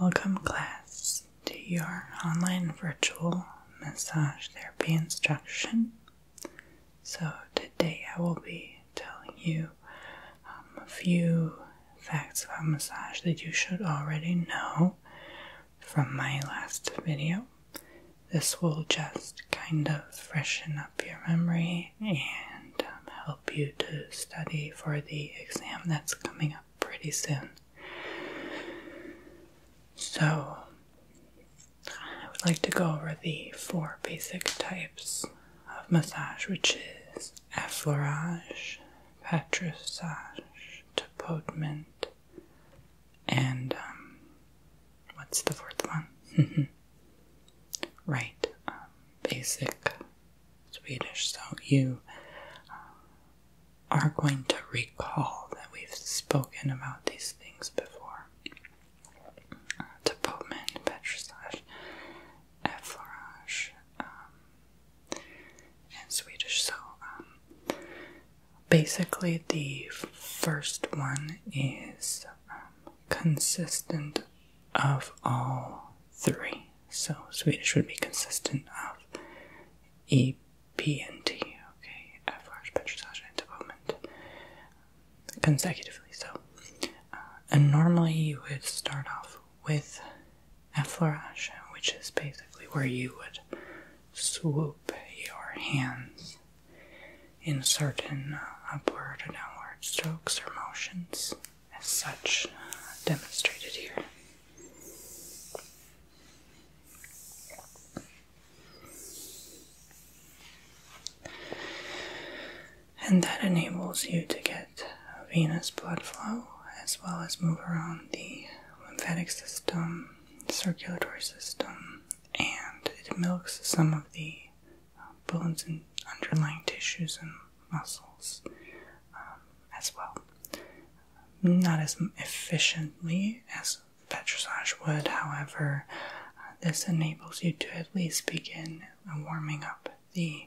Welcome, class, to your online virtual massage therapy instruction. So, today I will be telling you um, a few facts about massage that you should already know from my last video. This will just kind of freshen up your memory and um, help you to study for the exam that's coming up pretty soon. So, I would like to go over the four basic types of massage, which is effleurage, patrissage, tapotement, and um, what's the fourth one? right um, basic Swedish, so you uh, are going to recall that we've spoken about these things before. Uh, to Bowman, um, and Swedish. So, um, basically, the first one is um, consistent of all three. So Swedish would be consistent of E, P, and T. Okay, F large and development consecutively. So, uh, and normally you would start off with a effleurage, which is basically where you would swoop your hands in certain uh, upward and downward strokes or motions as such uh, demonstrated here. And that enables you to get venous blood flow as well as move around the lymphatic system, circulatory system, and it milks some of the uh, bones and underlying tissues and muscles um, as well. Not as efficiently as petrissage would, however, uh, this enables you to at least begin warming up the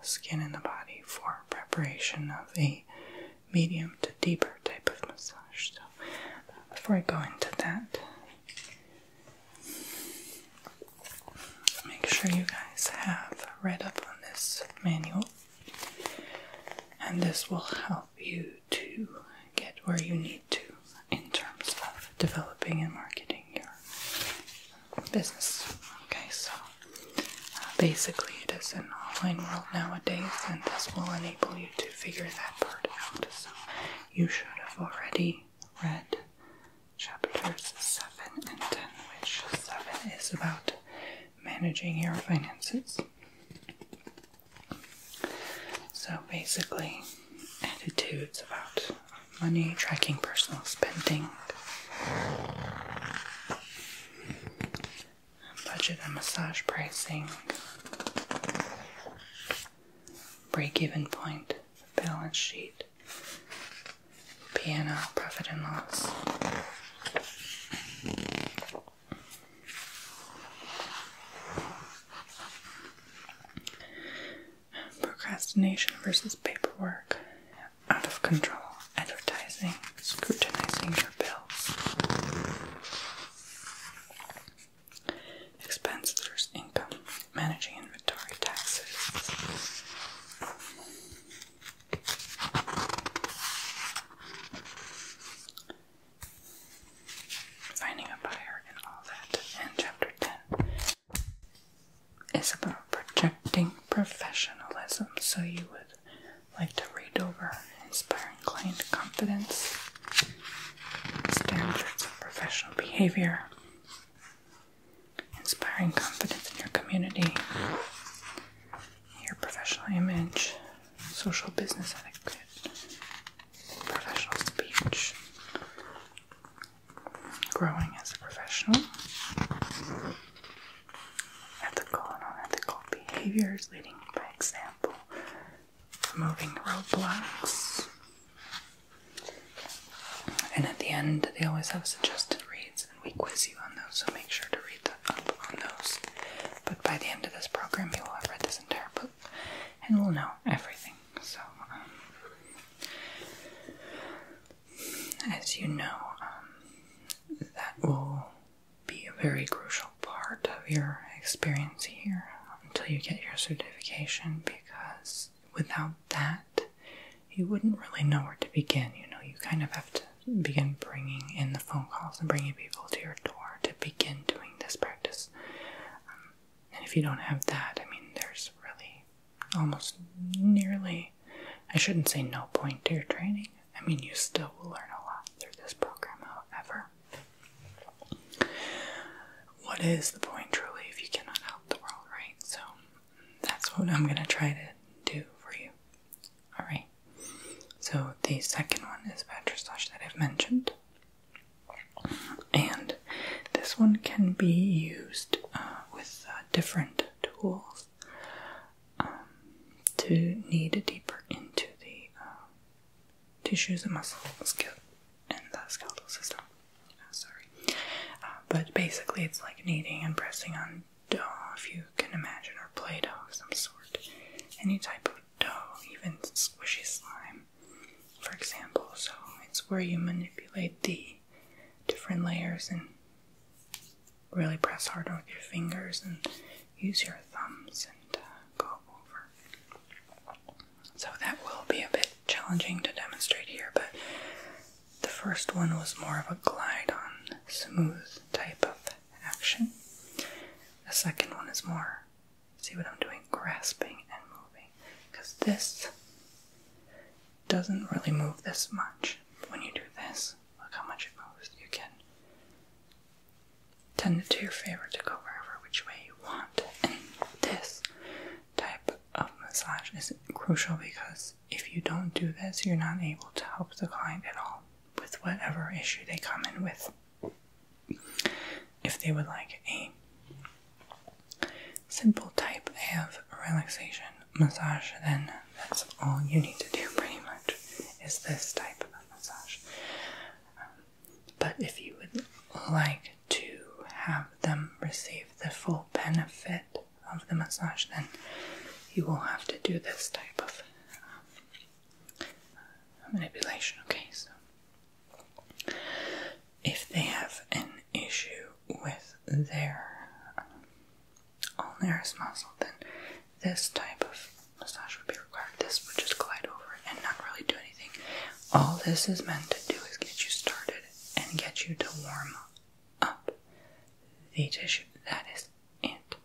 skin and the body for preparation of a medium to deeper type of massage. So, before I go into that, Make sure you guys have read up on this manual, and this will help you to get where you need to in terms of developing and marketing your business. Okay, so uh, basically, it is an online world nowadays, and this will enable you to figure that part out. So, you should have already read chapters 7 and 10, which 7 is about managing your finances. So basically, attitudes about money, tracking personal spending, budget and massage pricing, break even point, balance sheet, P&L, profit and loss. Procrastination versus paperwork. Out of control. Advertising. Scrutinizing your bills. expenses versus income managing inventory taxes. Finding a buyer and all that. And chapter 10 is about projecting professionalism. So you would like to read over inspiring client confidence, standards of professional behavior, inspiring confidence in your community, your professional image, social business etiquette, professional speech, growing as a professional, ethical and unethical behaviors, leading by example, removing roadblocks, and at the end, they always have suggested reads, and we quiz you on those, so make sure to read up on those. But by the end of this program, you will have read this entire book and will know everything. So, um, as you know, um, that will be a very crucial part of your experience here until you get your certification because without that, you wouldn't really know where to begin. You know, you kind of have to begin bringing in the phone calls and bringing people to your door to begin doing this practice. Um, and if you don't have that, I mean, there's really almost nearly, I shouldn't say no point to your training. I mean, you still will learn a lot through this program, however what is the point truly if you cannot help the world, right? So that's what I'm gonna try to do for you. Alright. So the second one is bad that I've mentioned. And this one can be used uh, with uh, different tools um, to knead deeper into the uh, tissues and muscles, skill and the skeletal system. Oh, sorry. Uh, but basically, it's like kneading and pressing on dough, if you can imagine, or play dough of some sort. Any type of dough, even squishy slime, for example. So it's where you manipulate the different layers and really press hard with your fingers and use your thumbs and uh, go over. So that will be a bit challenging to demonstrate here, but the first one was more of a glide on smooth type of action. The second one is more, see what I'm doing, grasping and moving, because this doesn't really move this much. When you do this, look how much it moves. You can tend it to your favor to go wherever which way you want. And this type of massage is crucial because if you don't do this, you're not able to help the client at all with whatever issue they come in with. If they would like a simple type of relaxation massage, then that's all you need to do, pretty much, is this type of massage. Um, but if you would like to have them receive the full benefit of the massage, then you will have to do this type of uh, manipulation. Okay, so if they have an issue with their um, ulnar muscle, then this type of massage would be required. This would just glide over it and not really do anything. All this is meant to do is get you started and get you to warm up the tissue that is it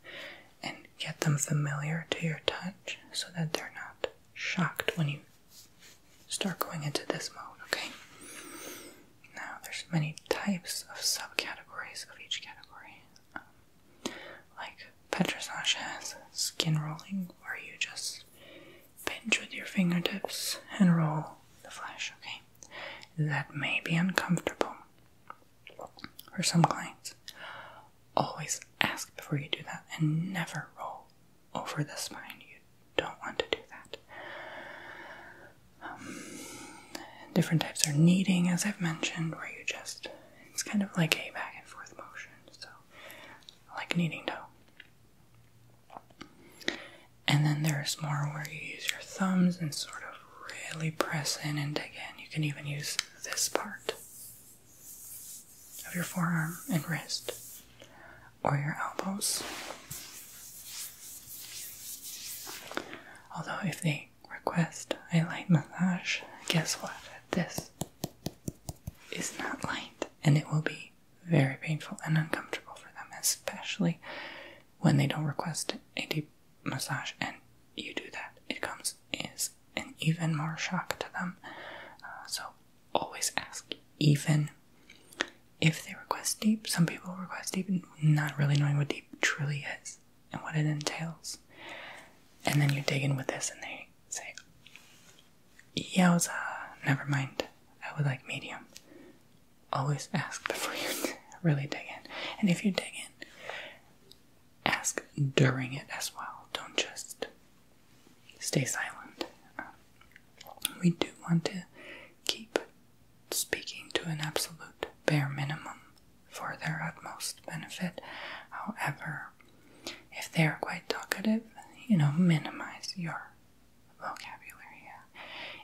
and get them familiar to your touch so that they're not shocked when you start going into this mode, okay? Now, there's many types of subcategories of each category. Um, like petrissage has skin rolling, where you just pinch with your fingertips and roll the flesh, okay? That may be uncomfortable for some clients. Always ask before you do that and never roll over the spine. You don't want to do that. Um, different types are kneading, as I've mentioned, where you just, it's kind of like a back and forth motion, so like kneading dough. And then there's more where you use your thumbs and sort of really press in and dig in. You can even use this part of your forearm and wrist or your elbows. Although, if they request a light massage, guess what? This is not light and it will be very painful and uncomfortable for them, especially when they don't request a deep massage and you do that. It comes is an even more shock to them. Uh, so always ask, even if they request deep. Some people request deep, not really knowing what deep truly is and what it entails. And then you dig in with this, and they say, yowza, never mind, I would like medium. Always ask before you really dig in. And if you dig in, ask during it as well. Don't just stay silent. We do want to keep speaking to an absolute bare minimum for their utmost benefit. However, if they are quite talkative, you know, minimize your vocabulary,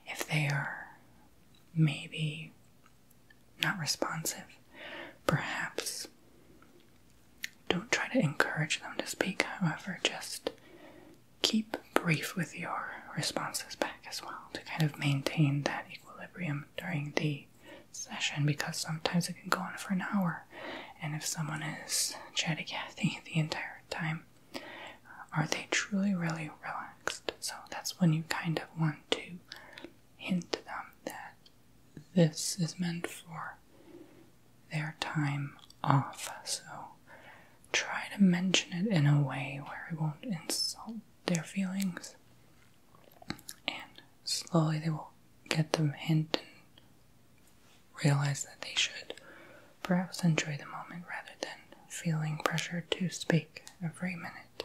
if they are maybe not responsive, perhaps don't try to encourage them to speak, however, just keep brief with your responses back as well to kind of maintain that equilibrium during the session because sometimes it can go on for an hour and if someone is chatty Cathy the entire time, uh, are they truly really relaxed? So that's when you kind of want to hint to them that this is meant for their time off. So try to mention it in a way where it won't insult their feelings, and slowly they will get the hint realize that they should perhaps enjoy the moment rather than feeling pressured to speak every minute.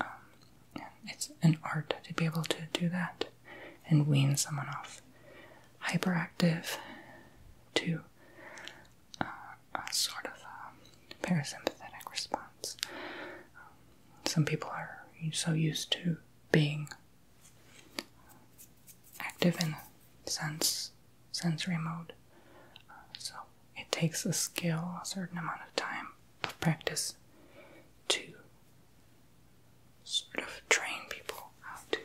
Um, it's an art to be able to do that and wean someone off. Hyperactive to uh, a sort of uh, parasympathetic response. Um, some people are so used to being active in sense sensory mode. so it takes a skill, a certain amount of time of practice to sort of train people how to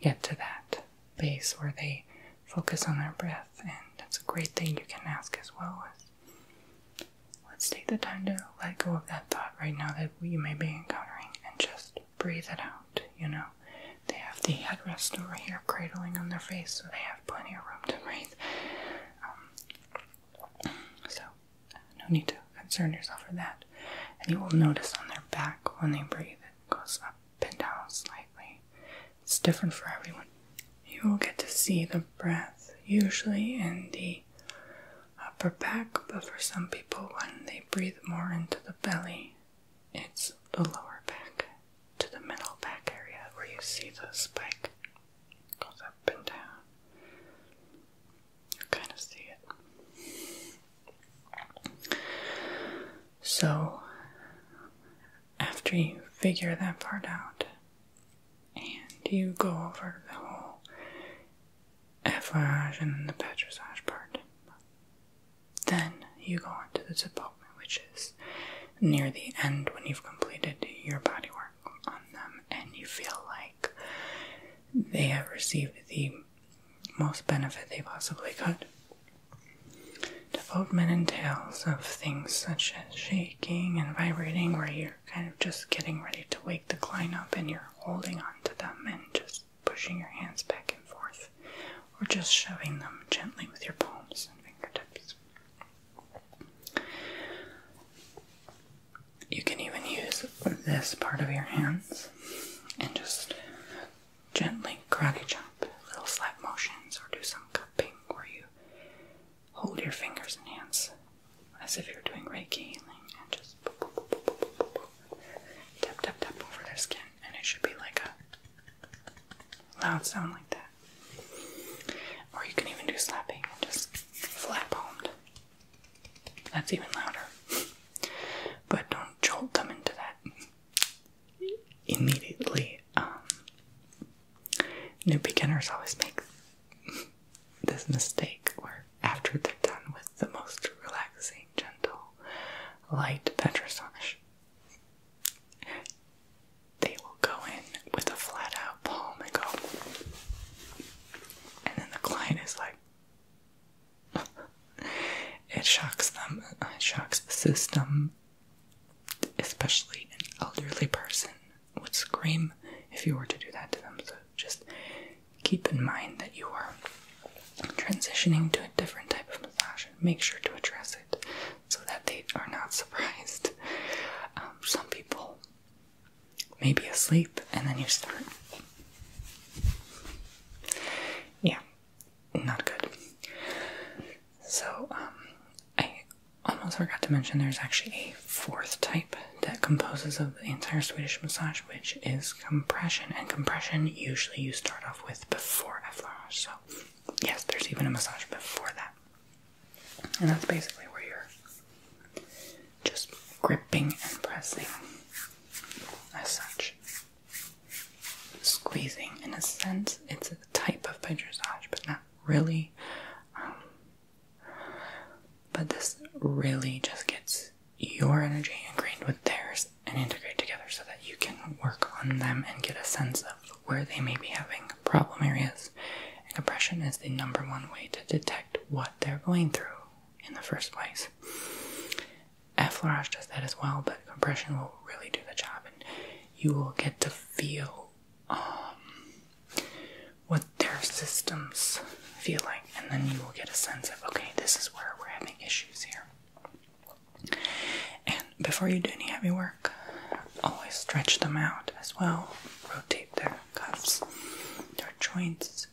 get to that base where they focus on their breath and that's a great thing you can ask as well as let's take the time to let go of that thought right now that we may be encountering and just breathe it out, you know. They have the headrest over here cradling on their face, so they have plenty of room to breathe. Um, so, no need to concern yourself with that. And you will notice on their back when they breathe, it goes up and down slightly. It's different for everyone. You will get to see the breath usually in the upper back, but for some people, when they breathe more into the belly, it's the lower back to the middle back area where you see the spike goes up and down. You kind of see it. So, after you figure that part out, and you go over the whole effleurage and then the petrissage part. Then you go on to the development, which is near the end when you've completed your body work on them and you feel like they have received the most benefit they possibly could. Development entails of things such as shaking and vibrating, where you're kind of just getting ready to wake the client up and you're holding on to them and just pushing your hands back and forth, or just shoving them gently with your palms and fingertips. You can even use this part of your hands and just gently karate chop, little slap motions, or do some cupping where you hold your fingers and hands as if you're doing Reiki healing and just tap tap tap over their skin, and it should be like a loud sound like that. Or you can even do slapping, just flat palmed. That's even louder. but don't jolt them into that immediately. Um, new beginners always make this mistake where after they're done with the most relaxing, gentle, light pet massage, they will go in with a flat out palm and go, and then the client is like, it shocks them, it shocks the system, especially an elderly person would scream if you were to do that to them. So just keep in mind that you are transitioning to a different type of massage and make sure to address it so that they are not surprised. Um, some people may be asleep and then you start. Yeah, not good. So, um, I almost forgot to mention there's actually a fourth type that composes of the entire Swedish massage, which is compression. And compression usually you start off with before effleurage. So yes, there's even a massage before that. And that's basically where you're just gripping and pressing as such. Squeezing. In a sense, it's a type of massage, but not really. Um, but this really just gets your energy ingrained with theirs and integrate together so that you can work on them and get a sense of where they may be having problem areas. compression is the number one way to detect what they're going through in the first place. Effleurage does that as well, but compression will really do the job, and you will get to feel um, their systems feel like, and then you will get a sense of okay, this is where we're having issues here. And before you do any heavy work, always stretch them out as well. Rotate their cuffs, their joints.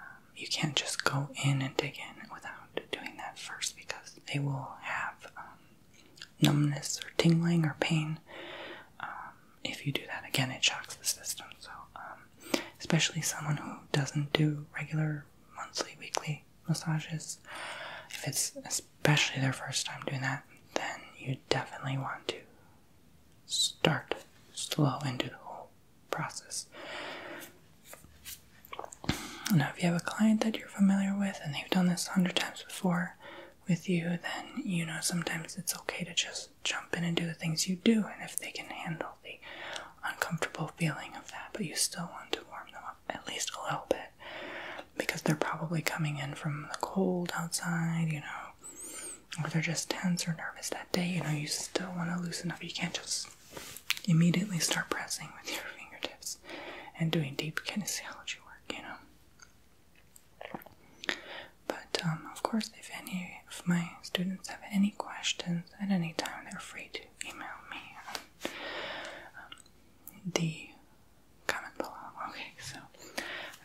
Um, you can't just go in and dig in without doing that first because they will have um, numbness or tingling or pain. Um, if you do that again, it shocks the system. So especially someone who doesn't do regular monthly, weekly massages. If it's especially their first time doing that, then you definitely want to start slow into the whole process. Now, if you have a client that you're familiar with and they've done this a hundred times before with you, then you know sometimes it's okay to just jump in and do the things you do, and if they can handle the uncomfortable feeling of that, but you still want to warm them up at least a little bit because they're probably coming in from the cold outside, you know, or they're just tense or nervous that day, you know, you still want to loosen up. You can't just immediately start pressing with your fingertips and doing deep kinesiology work, you know. But um, of course, if any of my students have any questions at any time, they're free to email me um, um, the comment below. Okay, so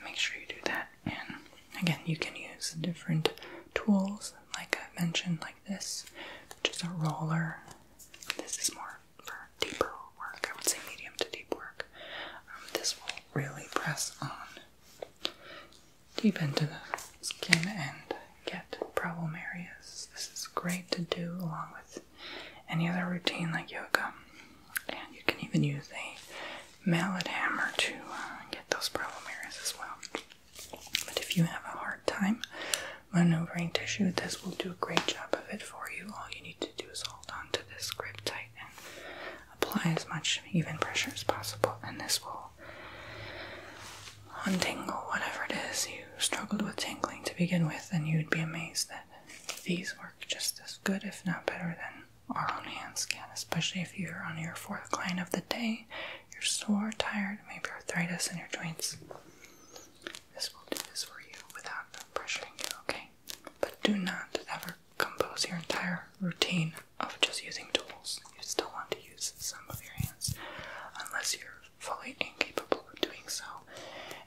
make sure you do that. And again, you can use different tools, like I mentioned, like this, which is a roller. This is more for deeper work, I would say medium to deep work. this will really press on deep into the skin and get problem areas. This is great to do along with any other routine like yoga. And you can even use a mallet hammer to uh, get those problem areas as well. But if you have a hard time maneuvering tissue, this will do a great job of it for you. All you need to do is hold onto this grip tight and apply as much even pressure as possible, and this will Hunting or whatever it is you struggled with tingling to begin with, and you'd be amazed that these work just as good, if not better, than our own hand scan, especially if you're on your fourth client of the day, you're sore, tired, maybe arthritis in your joints. This will do this for you without pressuring you, okay? But do not ever compose your entire routine of just using tools. You still want to use some of your hands unless you're fully incapable of doing so.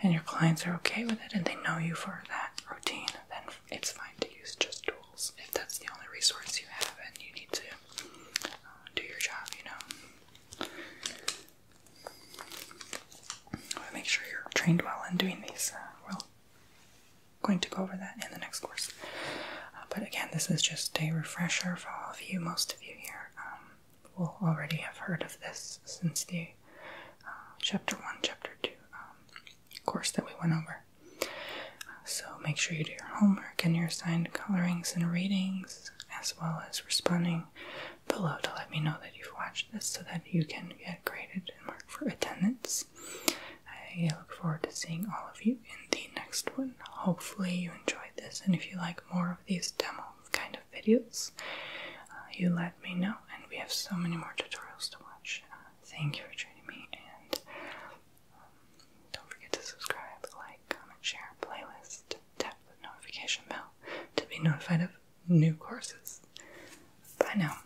And your clients are okay with it and they know you for that routine, then it's fine to use just tools if that's the only resource you have and you need to uh, do your job, you know. Make sure you're trained well in doing these uh, well going to go over that in the next course. Uh, but again, this is just a refresher for all of you. Most of you here um, will already have heard of this since the uh, chapter 1, chapter 2 um, course that we went over. so make sure you do your homework and your assigned colorings and readings, as well as responding below to let me know that you've watched this so that you can get graded and mark for attendance. I look forward to seeing all of you in the next one. Hopefully, you enjoyed this, and if you like more of these demo kind of videos, uh, you let me know. And we have so many more tutorials to watch. Uh, thank you for joining me, and um, don't forget to subscribe, like, comment, share, playlist, tap the notification bell to be notified of new courses. Bye now.